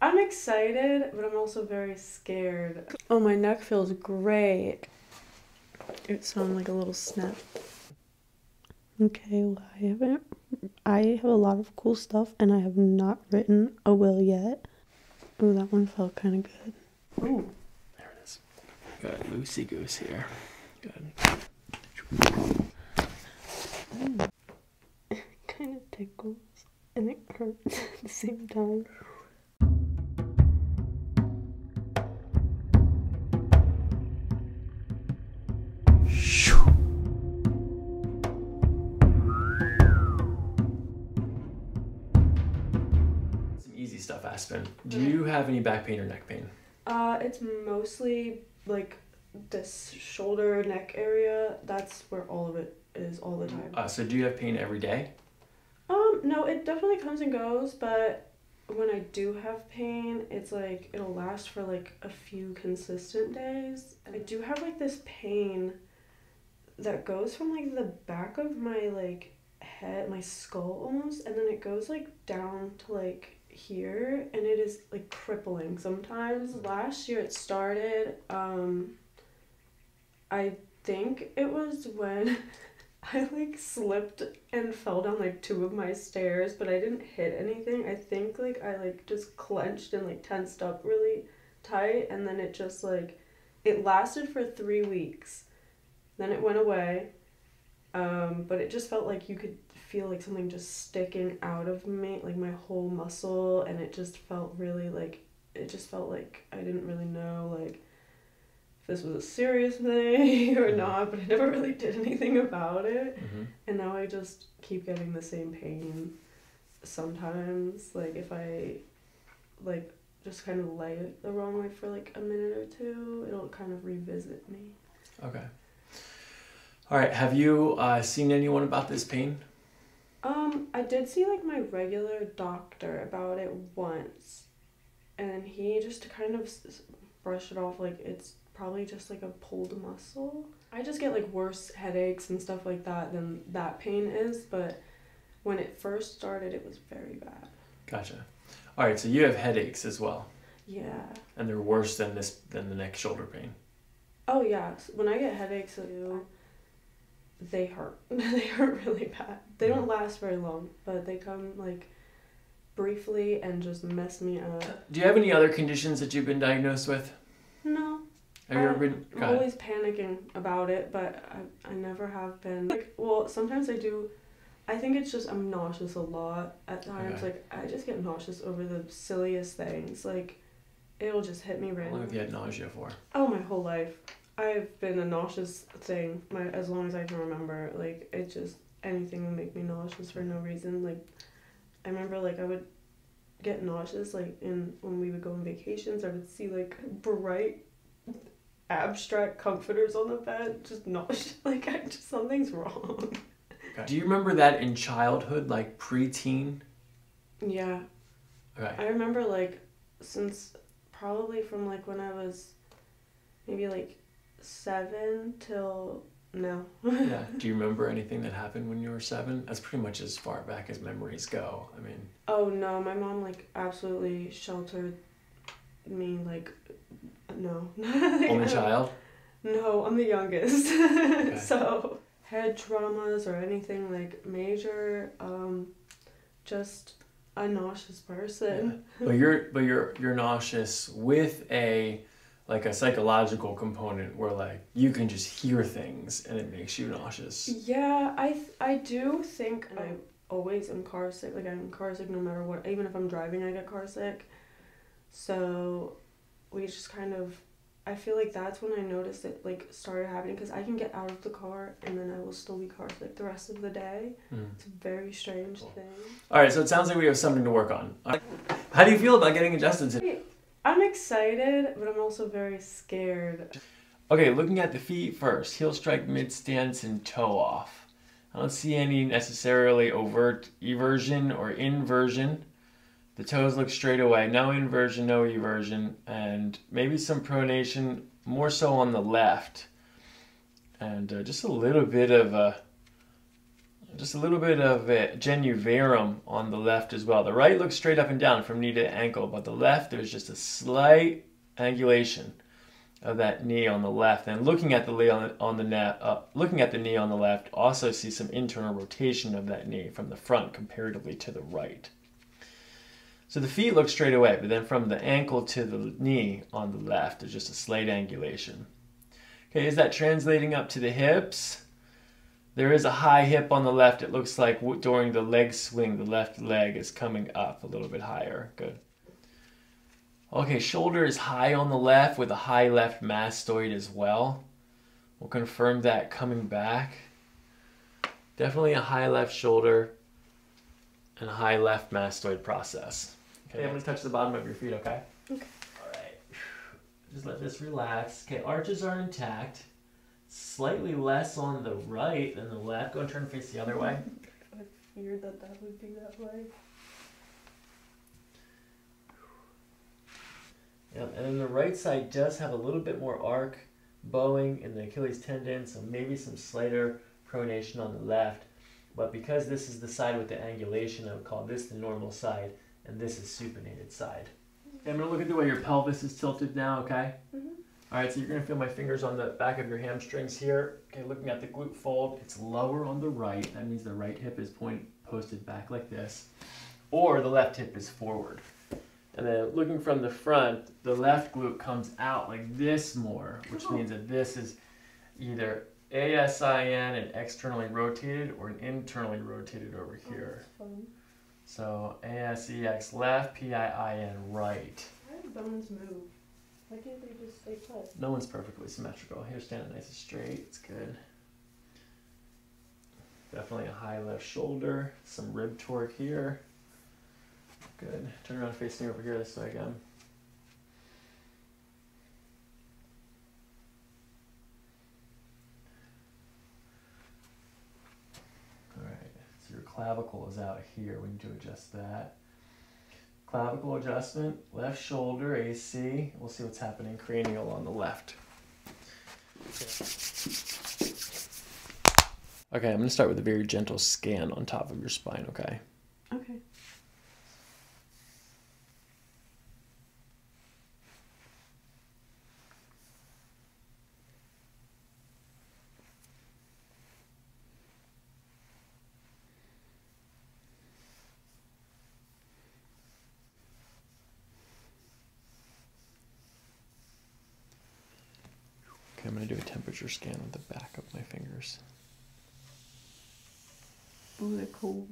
I'm excited, but I'm also very scared. Oh, my neck feels great. It sounded like a little snap. Okay, well, I haven't. I have a lot of cool stuff, and I have not written a will yet. Oh, that one felt kind of good. Oh, there it is. Got Lucy goose here. Good it kind of tickles and it hurts at the same time. Some easy stuff, Aspen. Do you have any back pain or neck pain? Uh, it's mostly like this shoulder neck area. That's where all of it is all the time. Uh, so do you have pain every day? Um, no, it definitely comes and goes, but when I do have pain, it's like it'll last for like a few consistent days. I do have like this pain that goes from like the back of my like head, my skull almost, and then it goes like down to like here and it is like crippling sometimes. Last year it started um I think it was when I like slipped and fell down like two of my stairs, but I didn't hit anything. I think like I like just clenched and like tensed up really tight and then it just like it lasted for 3 weeks. Then it went away. Um, but it just felt like you could feel like something just sticking out of me, like my whole muscle and it just felt really like it just felt like I didn't really know like if this was a serious thing or mm-hmm. not, but I never really did anything about it. Mm-hmm. And now I just keep getting the same pain sometimes. Like if I like just kind of lay it the wrong way for like a minute or two, it'll kind of revisit me. Okay. All right. Have you uh, seen anyone about this pain? Um, I did see like my regular doctor about it once, and he just kind of brushed it off like it's probably just like a pulled muscle. I just get like worse headaches and stuff like that than that pain is, but when it first started, it was very bad. Gotcha. All right, so you have headaches as well. Yeah. And they're worse than this than the neck shoulder pain. Oh yeah, when I get headaches, I they hurt. they hurt really bad. They don't last very long, but they come like briefly and just mess me up. Do you have any other conditions that you've been diagnosed with? No. Have you I, ever been? I'm always panicking about it, but I, I never have been. Like, well, sometimes I do. I think it's just I'm nauseous a lot at times. Like I just get nauseous over the silliest things. Like it'll just hit me right. How long have you had nausea for? Oh, my whole life. I've been a nauseous thing my as long as I can remember. Like it just anything would make me nauseous for no reason. Like I remember like I would get nauseous like in when we would go on vacations. I would see like bright abstract comforters on the bed, just nauseous. Like I just something's wrong. Do you remember that in childhood, like preteen? Yeah. I remember like since probably from like when I was maybe like seven till now. yeah. Do you remember anything that happened when you were seven? That's pretty much as far back as memories go. I mean. Oh no, my mom like absolutely sheltered me. Like, no. Only child. No, I'm the youngest. so head traumas or anything like major. Um, just a nauseous person. But you're but you're you're nauseous with a like a psychological component where like you can just hear things and it makes you nauseous. Yeah, I I do think mm. I always am carsick. Like I'm carsick no matter what. Even if I'm driving, I get carsick. So we just kind of I feel like that's when I noticed it like started happening because I can get out of the car and then I will still be carsick the rest of the day. Hmm. It's a very strange thing. All right, so it sounds like we have something to work on. How do you feel about getting adjusted I'm excited, but I'm also very scared. Okay, looking at the feet first, heel strike, mid stance, and toe off. I don't see any necessarily overt eversion or inversion. The toes look straight away, no inversion, no eversion, and maybe some pronation, more so on the left. And uh, just a little bit of a, uh, just a little bit of uh, genuverum on the left as well. The right looks straight up and down from knee to ankle, but the left there's just a slight angulation of that knee on the left. And looking at the knee on the left, also see some internal rotation of that knee from the front comparatively to the right. So the feet look straight away, but then from the ankle to the knee on the left, is just a slight angulation. Okay, is that translating up to the hips? There is a high hip on the left. It looks like during the leg swing, the left leg is coming up a little bit higher. Good. Okay, shoulder is high on the left with a high left mastoid as well. We'll confirm that coming back. Definitely a high left shoulder and a high left mastoid process. Okay, I'm gonna touch the bottom of your feet, okay? Okay. All right. Just let this relax. Okay, arches are intact. Slightly less on the right than the left. Go and turn face the other way. I figured that that would be that way. And then the right side does have a little bit more arc, bowing in the Achilles tendon, so maybe some slighter pronation on the left. But because this is the side with the angulation, I would call this the normal side, and this is supinated side. I'm going to look at the way your pelvis is tilted now, okay? Mm-hmm. All right, so you're going to feel my fingers on the back of your hamstrings here. Okay, looking at the glute fold, it's lower on the right. That means the right hip is point posted back like this, or the left hip is forward. And then looking from the front, the left glute comes out like this more, which oh. means that this is either ASIN and externally rotated or an internally rotated over oh, here. so ASEX left, PIIN right. How do bones move? Why can't they just stay put? No one's perfectly symmetrical. Here, standing nice and straight. It's good. Definitely a high left shoulder, some rib torque here. Good. Turn around facing over here this way again. All right, so your clavicle is out here. We need to adjust that. Clavicle adjustment, left shoulder, AC. We'll see what's happening cranial on the left. Okay, I'm going to start with a very gentle scan on top of your spine, okay? Okay. Okay, I'm going to do a temperature scan with the back of my fingers. Oh, they're cold.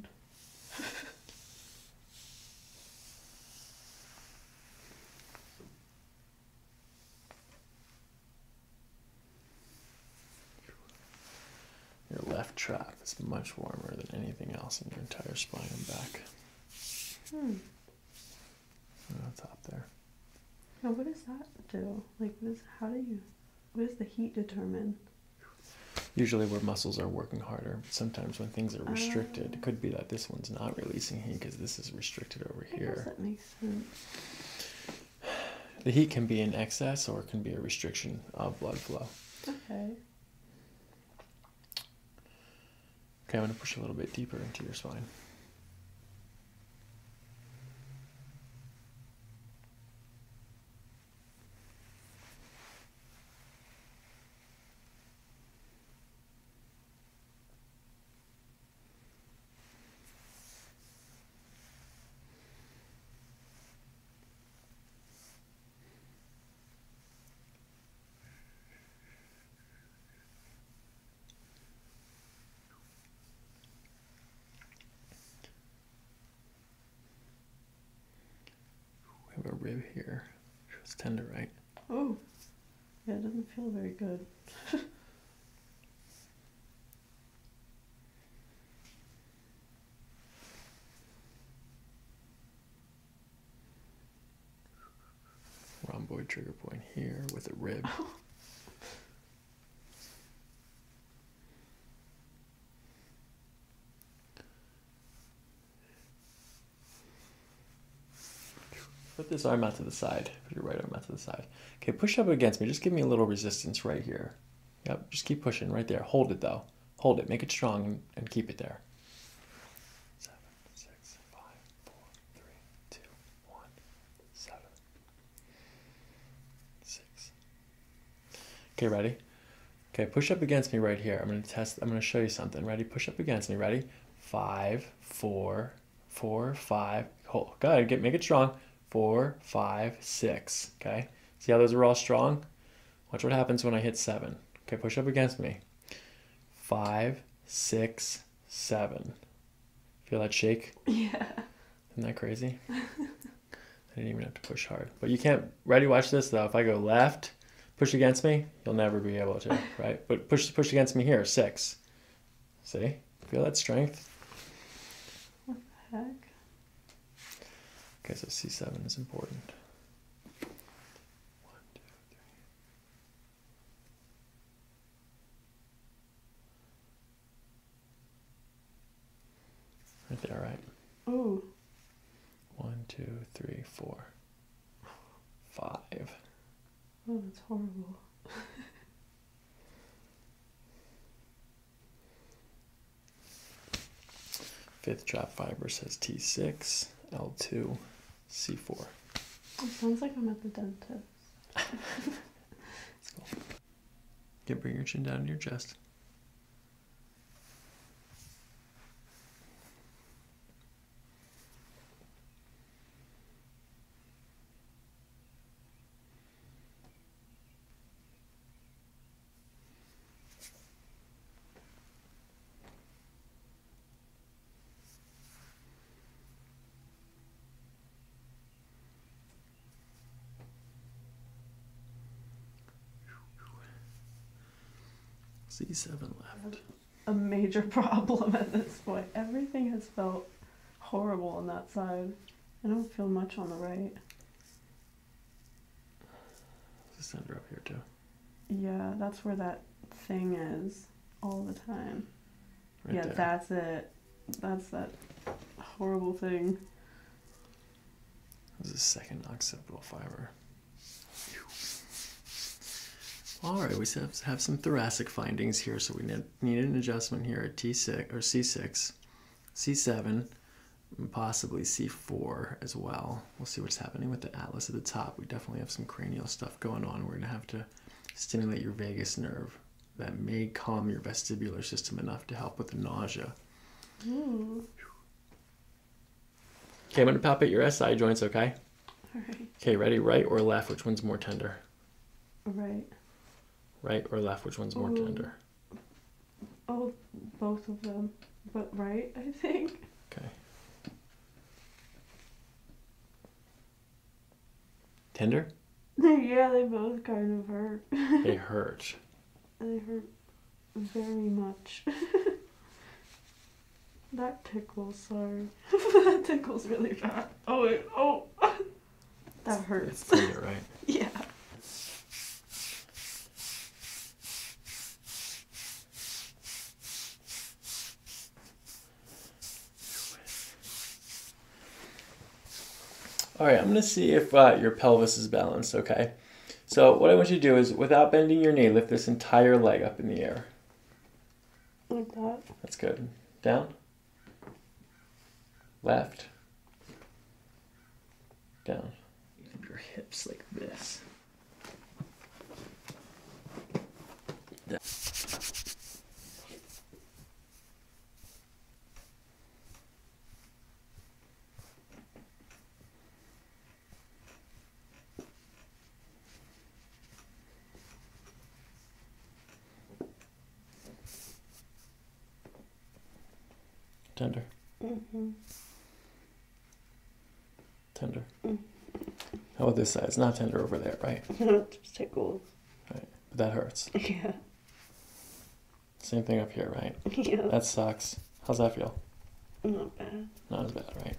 your left trap is much warmer than anything else in your entire spine and back. Hmm. That's up there. Now, what does that do? Like, how do you, what does the heat determine? Usually, where muscles are working harder. Sometimes, when things are restricted, oh. it could be that this one's not releasing heat because this is restricted over here. That makes sense. The heat can be in excess or it can be a restriction of blood flow. Okay. Okay, I'm going to push a little bit deeper into your spine. We have a rib here. It's tender, right? Oh, yeah, it doesn't feel very good. rhomboid trigger point here with a rib. Oh. Put this arm out to the side. Put your right arm out to the side. Okay, push up against me. Just give me a little resistance right here. Yep, just keep pushing right there. Hold it though. Hold it. Make it strong and, and keep it there. Seven, six, five, four, three, two, one, seven, six. Okay, ready? Okay, push up against me right here. I'm gonna test, I'm gonna show you something. Ready? Push up against me. Ready? Five, four, four, five. Hold, good, get, make it strong. Four, five, six, okay? See how those are all strong? Watch what happens when I hit seven. Okay, push up against me. Five, six, seven. Feel that shake? Yeah. Isn't that crazy? I didn't even have to push hard. But you can't, ready, watch this though. If I go left, push against me, you'll never be able to, right? But push, push against me here, six. See? Feel that strength? What the heck? Okay, so C7 is important. One, two, three. Right there, all right. Ooh. One, two, three, four, five. Oh, that's horrible. Fifth trap fiber says T6, L2, C4. It sounds like I'm at the dentist. That's cool. Okay, bring your chin down to your chest. C7 left. A major problem at this point. Everything has felt horrible on that side. I don't feel much on the right. There's a up here, too. Yeah, that's where that thing is all the time. yeah, that's it. That's that horrible thing. This is second occipital fiber. All right, we have, have some thoracic findings here. So we need, needed an adjustment here at T6 or C6, C7, and possibly C4 as well. We'll see what's happening with the atlas at the top. We definitely have some cranial stuff going on. We're going to have to stimulate your vagus nerve that may calm your vestibular system enough to help with the nausea. Okay, I'm going to palpate your SI joints, okay? All right. Okay, ready? Right or left? Which one's more tender? Right. Right or left? Which one's more tender? Oh, both of them. But right, I think. Okay. Tender? yeah, they both kind of hurt. they hurt. They hurt very much. that tickles, sorry. that tickles really bad. Oh, oh. that hurts. It's tender, right? yeah. All right, I'm gonna see if uh, your pelvis is balanced, okay? So what I want you to do is, without bending your knee, lift this entire leg up in the air. Like that. That's good. Down. Left. Down. Your hips like this. Tender. Mm-hmm. Tender. Mm. How oh, about this side? It's not tender over there, right? just tickles. Right, but that hurts. Yeah. Same thing up here, right? Yeah. That sucks. How's that feel? Not bad. Not as bad, right?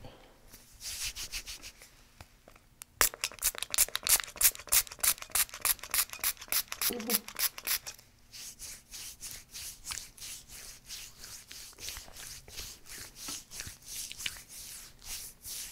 Mm-hmm.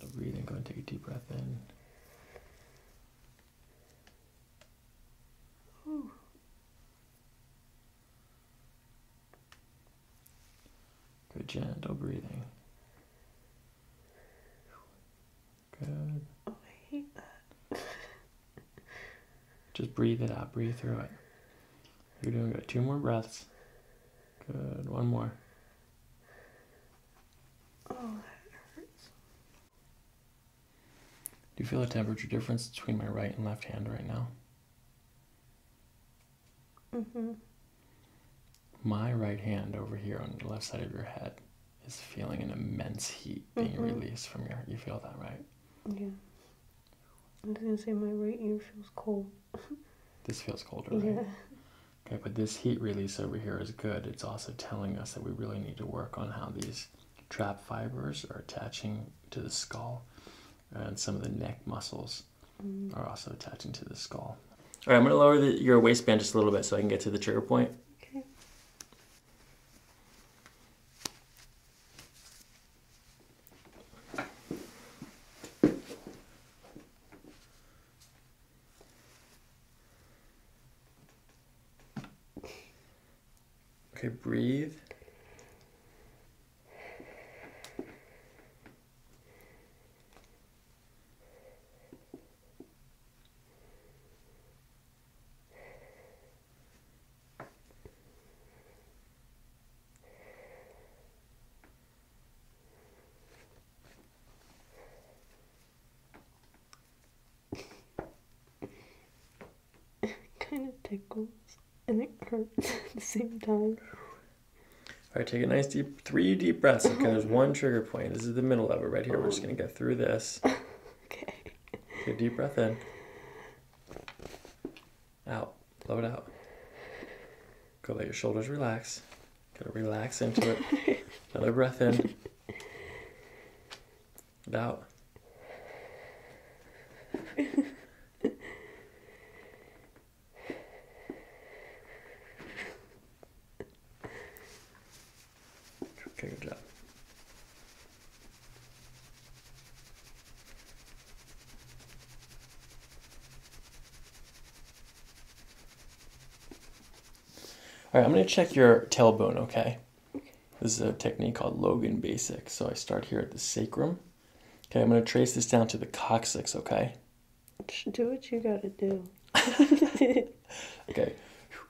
And breathe and go and take a deep breath in. Good gentle breathing. Good. Oh, I hate that. Just breathe it out. Breathe through it. You're doing good. Two more breaths. Good. One more. Oh, that hurts. Do you feel a temperature difference between my right and left hand right now? Mm-hmm. My right hand over here on the left side of your head is feeling an immense heat being mm-hmm. released from your. You feel that, right? Yeah. I'm just gonna say my right ear feels cold. this feels colder, right? Yeah. Okay, but this heat release over here is good. It's also telling us that we really need to work on how these trap fibers are attaching to the skull and some of the neck muscles mm. are also attaching to the skull. All right, I'm gonna lower your waistband just a little bit so I can get to the trigger point. Okay. Okay, breathe kind of tickles and it hurts at the same time. All right, take a nice deep, three deep breaths. Okay, there's one trigger point. This is the middle of it right here. We're just gonna get through this. okay. Take deep breath in out, blow it out. Go let your shoulders relax. Gotta relax into it. Another breath in. out. Okay, good job. All right, I'm going to check your tailbone, okay? This is a technique called Logan Basic. So I start here at the sacrum. Okay, I'm going to trace this down to the coccyx, okay? Do what you got to do. okay,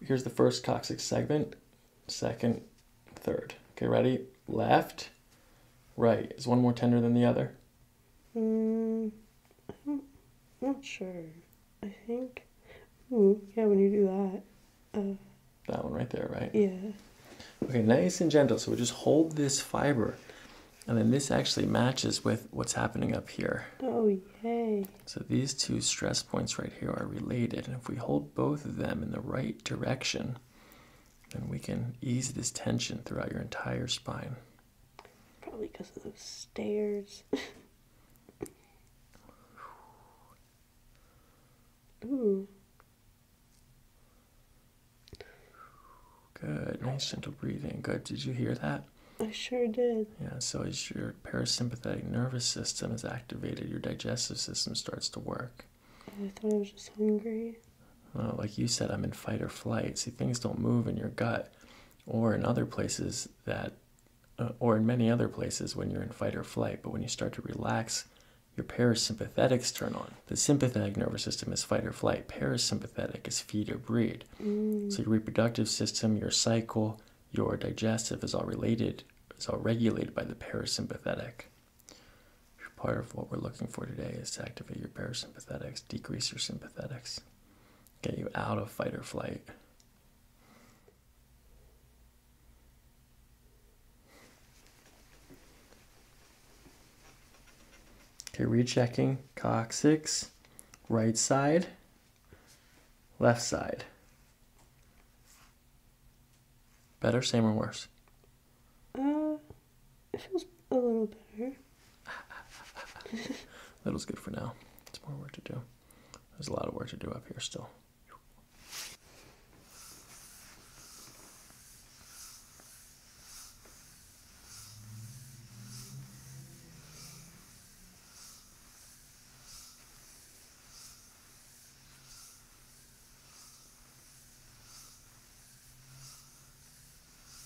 here's the first coccyx segment, second, third. Okay, ready? Left, right. Is one more tender than the other? Mm, I'm not sure. I think. Ooh, yeah, when you do that. Uh, that one right there, right? Yeah. Okay, nice and gentle. So we just hold this fiber, and then this actually matches with what's happening up here. Oh, yay. So these two stress points right here are related, and if we hold both of them in the right direction, and we can ease this tension throughout your entire spine. Probably because of those stairs. Ooh. Good. Nice gentle breathing. Good. Did you hear that? I sure did. Yeah, so as your parasympathetic nervous system is activated, your digestive system starts to work. I thought I was just hungry like you said, I'm in fight or flight. See, things don't move in your gut or in other places that, uh, or in many other places when you're in fight or flight. But when you start to relax, your parasympathetics turn on. The sympathetic nervous system is fight or flight. Parasympathetic is feed or breed. Mm. So your reproductive system, your cycle, your digestive is all related, is all regulated by the parasympathetic. Part of what we're looking for today is to activate your parasympathetics, decrease your sympathetics, get you out of fight or flight. Okay, rechecking coccyx, right side, left side. Better, same, or worse? Mm. It feels a little better. Little's good for now. It's more work to do. There's a lot of work to do up here still.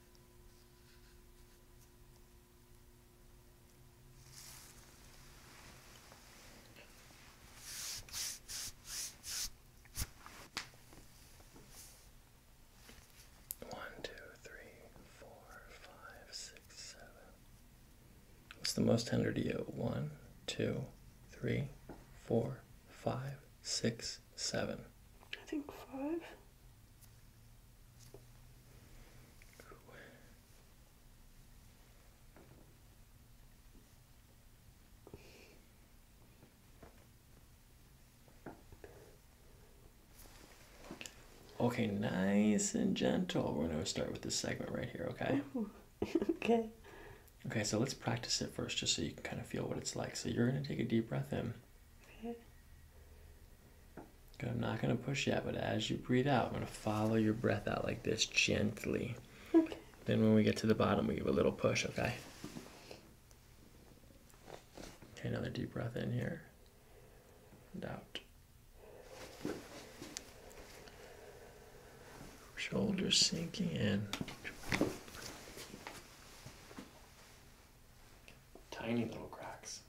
One, two, three, four, five, six, seven. What's the most tender to you? One, two, three, four, five, six, seven. I think five. Okay, nice and gentle. We're gonna start with this segment right here, okay? okay. Okay, so let's practice it first just so you can kind of feel what it's like. So you're gonna take a deep breath in. I'm not going to push yet, but as you breathe out, I'm going to follow your breath out like this gently. Then when we get to the bottom, we give a little push, okay? Okay, another deep breath in here and out. Shoulders sinking in. Tiny little cracks.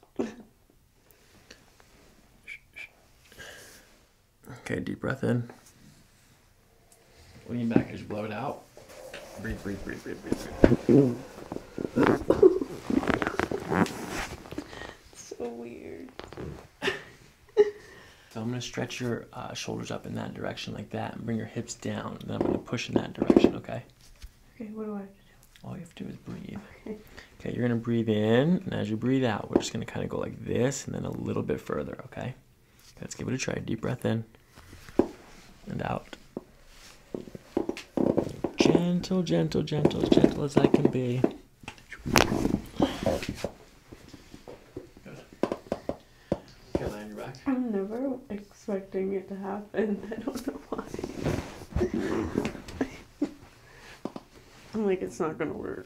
okay, deep breath in. Lean back and just blow it out. Breathe, breathe, breathe, breathe, breathe. breathe. so weird. So I'm going to stretch your uh, shoulders up in that direction like that and bring your hips down. And then I'm going to push in that direction, okay? Okay, what do I have to do? All you have to do is breathe. Okay. Okay, you're gonna breathe in, and as you breathe out, we're just gonna kind of go like this, and then a little bit further. Okay. Let's give it a try. Deep breath in and out. Gentle, gentle, gentle, as gentle as I can be. Okay, lay on your back. I've never expecting it to happen. I don't know why. I'm like, it's not gonna work.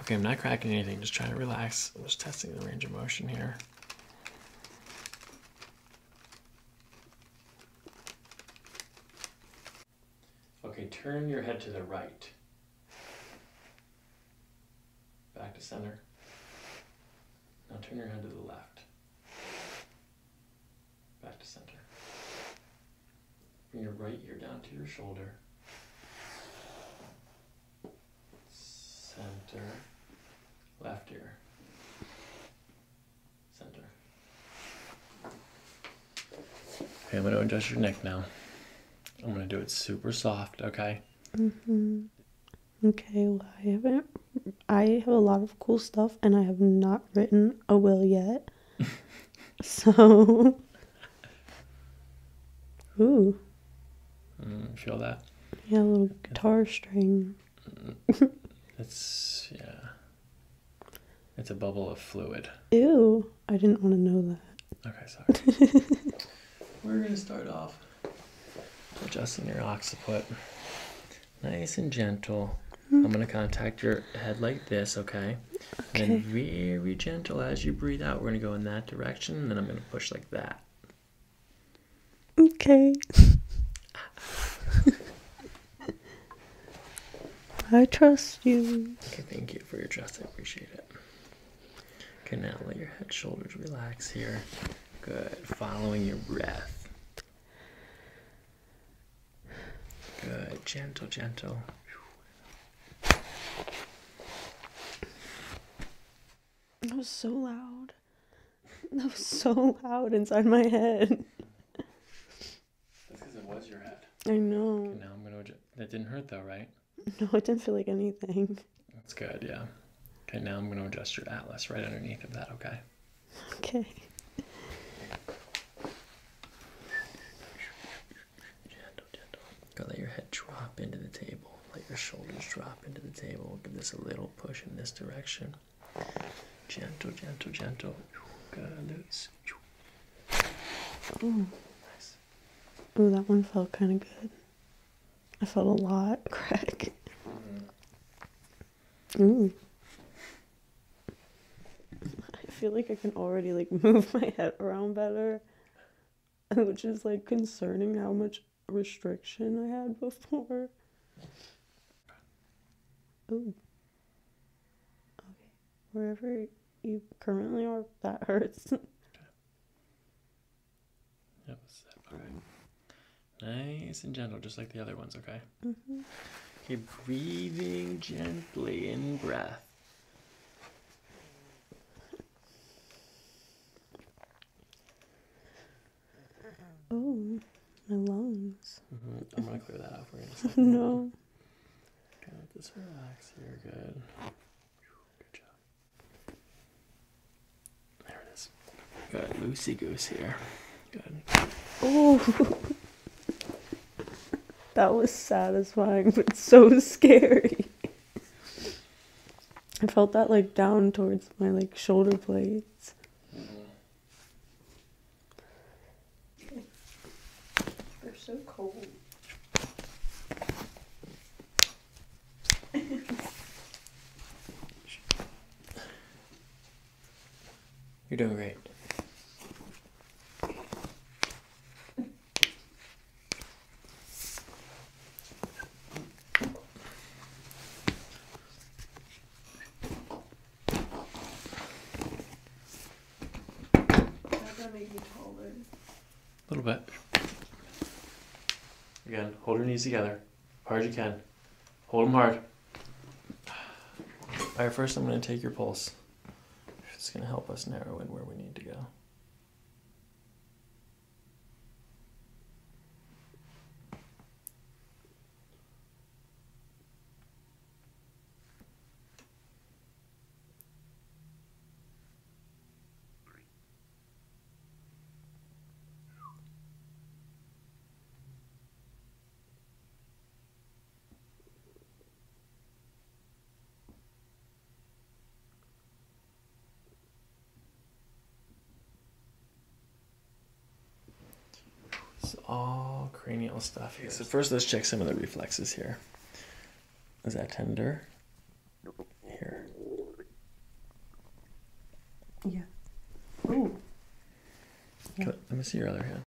Okay, I'm not cracking anything, just trying to relax. I'm just testing the range of motion here. Okay, turn your head to the right. Back to center. Now turn your head to the left. Back to center. Bring your right ear down to your shoulder. Center. Left ear. Center. Okay, I'm going to adjust your neck now. I'm going to do it super soft, okay? Mm hmm Okay, well, I haven't. I have a lot of cool stuff, and I have not written a will yet. so, ooh, mm, feel that. Yellow guitar string. It's mm, yeah. It's a bubble of fluid. Ew! I didn't want to know that. Okay, sorry. We're gonna start off adjusting your occiput nice and gentle. Hmm. I'm going to contact your head like this, okay? okay? And very gentle as you breathe out, we're going to go in that direction, and then I'm going to push like that. Okay. I trust you. Okay, thank you for your trust. I appreciate it. Okay, now let your head, shoulders relax here. Good. Following your breath. Good, gentle, gentle. That was so loud. That was so loud inside my head. That's because it was your head. I know. now I'm gonna. adjust. That didn't hurt though, right? No, it didn't feel like anything. That's good. Yeah. Okay, now I'm gonna adjust your atlas right underneath of that. Okay. Okay. Gentle, gentle. Gotta let your head drop into the table. Let your shoulders drop into the table. Give this a little push in this direction. Gentle, gentle, gentle. Gotta loose. Ooh. that one felt kind of good. I felt a lot crack. Mm. I feel like I can already like move my head around better, which is like concerning how much restriction I had before. Okay. Wherever you currently are, that hurts. Yep, sip. Nice and gentle, just like the other ones, okay? Mm mm-hmm. Okay, breathing gently in breath. Oh, my lungs. Mm-hmm. I'm gonna clear that out for you. no. Okay, let this relax here. Good. Good job. There it is. Got Lucy goose here. Oh, that was satisfying, but so scary. I felt that like down towards my like shoulder blades. They're so cold. You're doing great. A little bit. Again, hold your knees together hard as you can. Hold them hard. All right, first I'm going to take your pulse. It's going to help us narrow in where we need to go. It's all cranial stuff here. So first, let's check some of the reflexes here. Is that tender? Here. Yeah. Oh, let me see your other hand.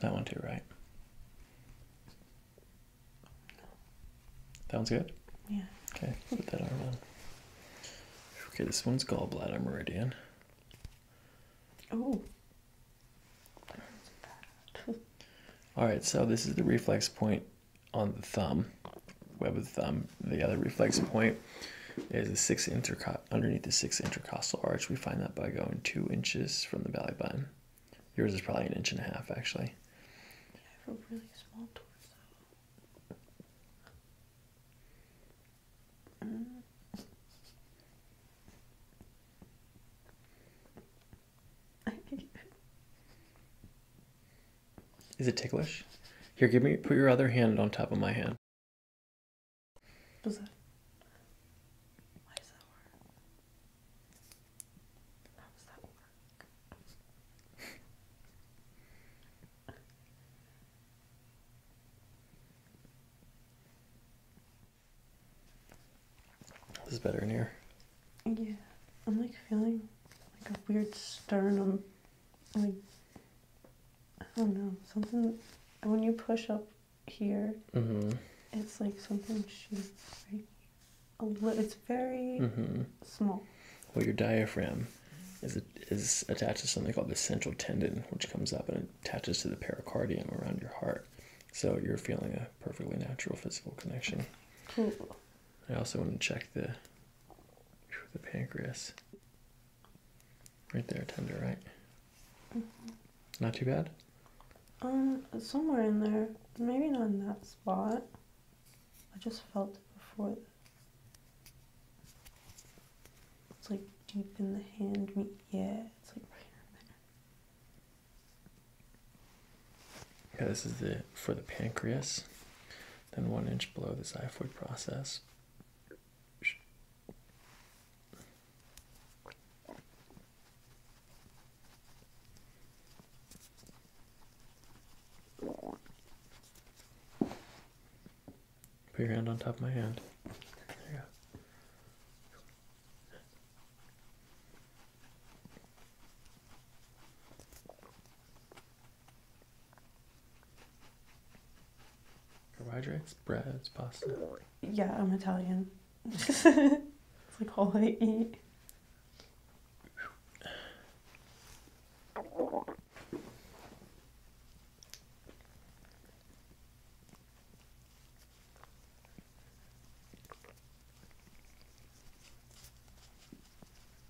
That one too, right? That one's good? Yeah. Okay, put that arm on. Okay, this one's gallbladder meridian. Oh. Alright, so this is the reflex point on the thumb, web of the thumb. The other reflex point is the six intercostal. underneath the six intercostal arch. We find that by going two inches from the belly button. Yours is probably an inch and a half, actually. I have a really small torso. Is it ticklish? Here, give me. Put your other hand on top of my hand. Does that? Why does that work? How does that work? this is better in here. Yeah, I'm like feeling like a weird sternum. Like, I don't know, something. When you push up here, mm-hmm. it's like something shoots It's very mm-hmm. small. Well, your diaphragm is is attached to something called the central tendon, which comes up and attaches to the pericardium around your heart. So you're feeling a perfectly natural physical connection. Cool. I also want to check the the pancreas. Right there, tender, right? Mm-hmm. Not too bad. Um, somewhere in there, maybe not in that spot. I just felt it before. It's like deep in the hand. Yeah, it's like right there. Okay, this is the for the pancreas. Then one inch below the xiphoid process. Put your hand on top of my hand. There Carbohydrates, breads, pasta. Yeah, I'm Italian. it's like all I eat.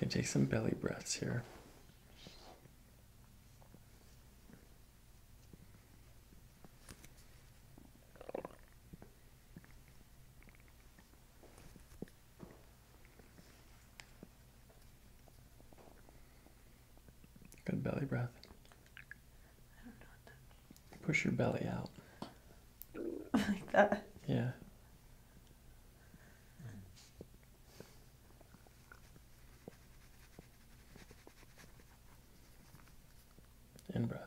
Okay, take some belly breaths here. Good belly breath. Push your belly out. Like that? Yeah. In breath.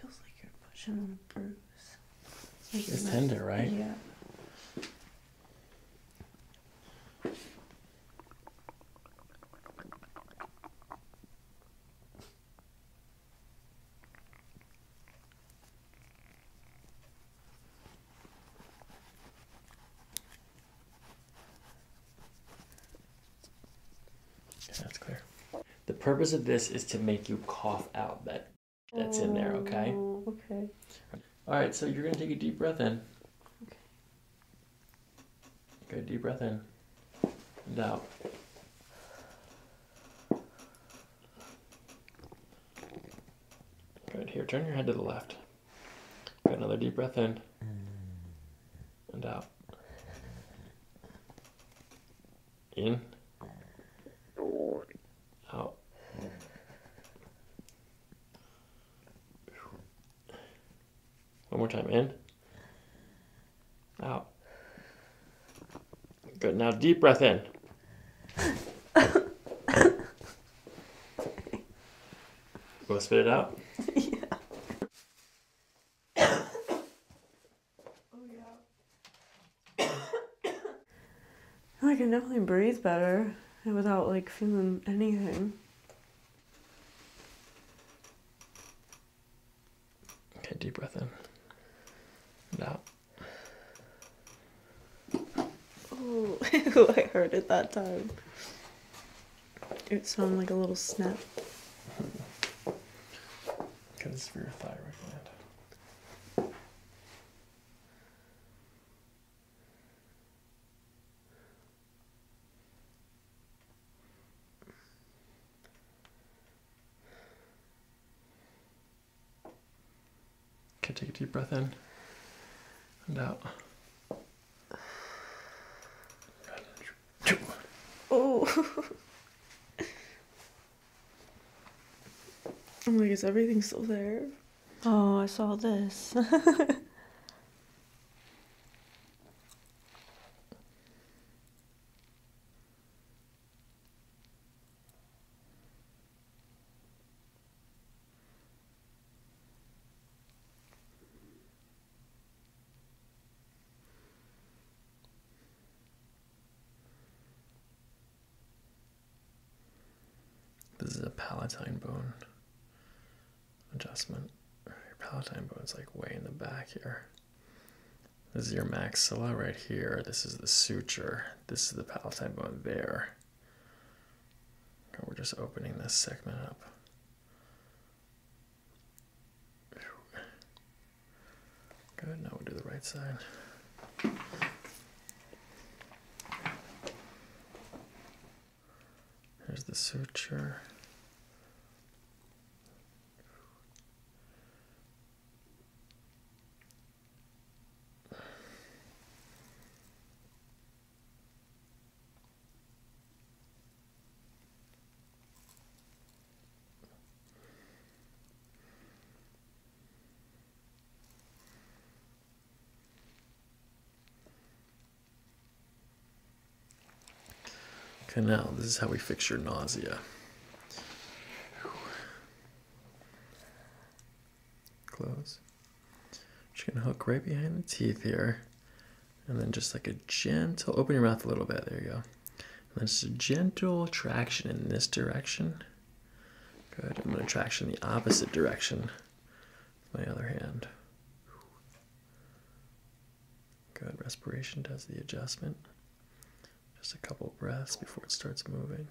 Feels like you're pushing on a bruise. It's, tender, right? Yeah that's clear. The purpose of this is to make you cough out that that's in there, okay? Oh, okay. All right, so you're going to take a deep breath in. Okay. Good, deep breath in and out. Good, here, turn your head to the left. Got another deep breath in and out. In. Out. Oh. One more time. In. Out. Good. Now deep breath in. Want to spit it out? Oh yeah. oh, I can definitely breathe better without like feeling anything. Okay, deep breath in. And out. Oh, I heard it that time. It sounded like a little snap. Because it's for your thyroid gland. Okay, take a deep breath in and out. Oh. I'm like, is everything still there? Oh, I saw this. This is a palatine bone adjustment. Palatine bone bone's like way in the back here. This is your maxilla right here. This is the suture. This is the palatine bone there. Okay, we're just opening this segment up. Good, now we'll do the right side. There's the suture. Okay, now this is how we fix your nausea. Close. Just gonna hook right behind the teeth here. And then just like a gentle, open your mouth a little bit. There you go. That's a gentle traction in this direction. Good. I'm going to traction the opposite direction with my other hand. Good. Respiration does the adjustment. Just a couple breaths before it starts moving.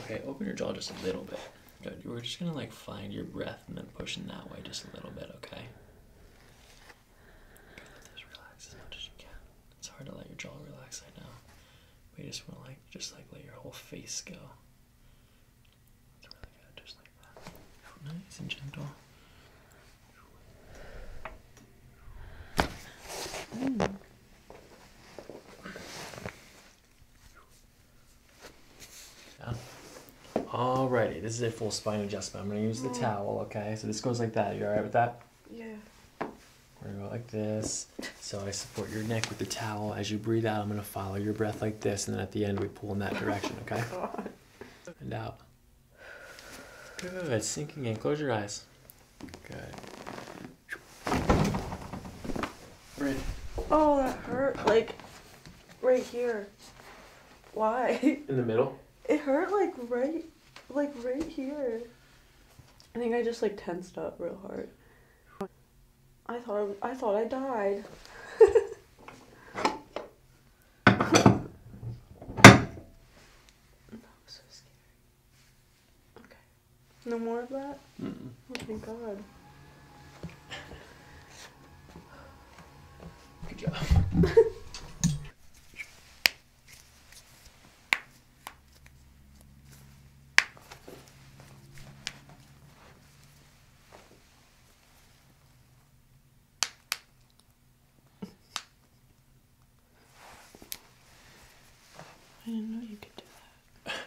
Okay, open your jaw just a little bit. Good. We're just going to like find your breath and then push in that way just a little bit, okay? Just relax as much as you can. It's hard to let your jaw relax, right now, but you just want to like just like let your whole face go. It's really good, just like that. Oh, nice and gentle. Hmm. Yeah. Alrighty, this is a full spine adjustment. I'm gonna use the mm. towel, okay? So this goes like that. You are alright with that? Yeah. We're gonna go like this. So I support your neck with the towel. As you breathe out, I'm gonna follow your breath like this, and then at the end we pull in that direction, okay? God. And out. Good. Sinking in. Close your eyes. Good. Breathe. Oh, that hurt. Like right here. Why? In the middle? It hurt like right, like right here. I think I just like tensed up real hard. I thought I, was, I thought I died. so okay. No more of that? Oh, thank God. Good job. I didn't know you could do that.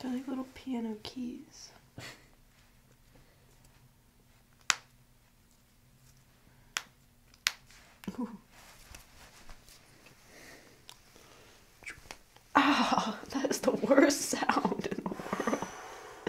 They're like little piano keys. Ah, that is the worst sound in the world.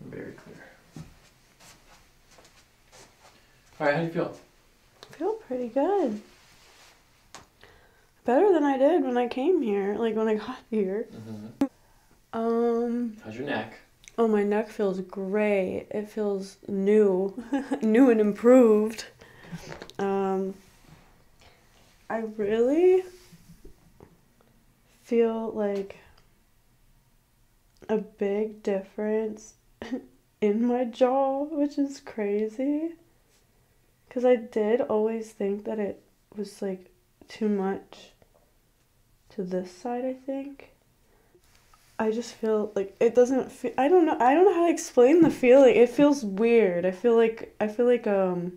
Very clear. All right, how do you feel? I feel pretty good. Better than I did when I came here, like when I got here. Mm-hmm. Um. How's your neck? Oh, my neck feels great. It feels new, new and improved. Um, I really feel like a big difference in my jaw, which is crazy. Because I did always think that it was like too much to this side, I think. I just feel like it doesn't feel, I don't know I don't know how to explain the feeling. It feels weird. I feel like I feel like um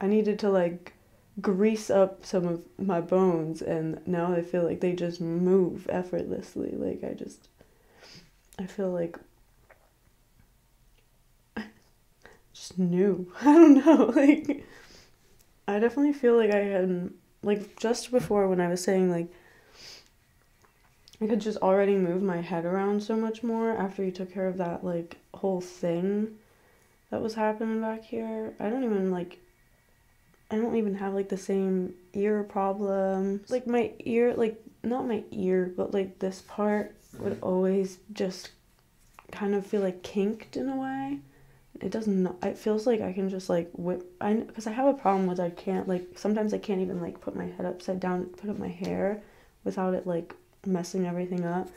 I needed to like grease up some of my bones and now I feel like they just move effortlessly. Like I just I feel like just new. I don't know. Like I definitely feel like I had like just before when I was saying like I could just already move my head around so much more after you took care of that like whole thing that was happening back here. I don't even like I don't even have like the same ear problem. Like my ear like not my ear, but like this part would always just kind of feel like kinked in a way. It doesn't it feels like I can just like whip I because I have a problem with I can't like sometimes I can't even like put my head upside down, put up my hair without it like messing everything up.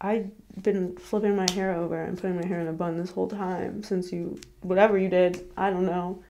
I've been flipping my hair over and putting my hair in a bun this whole time since you whatever you did, I don't know.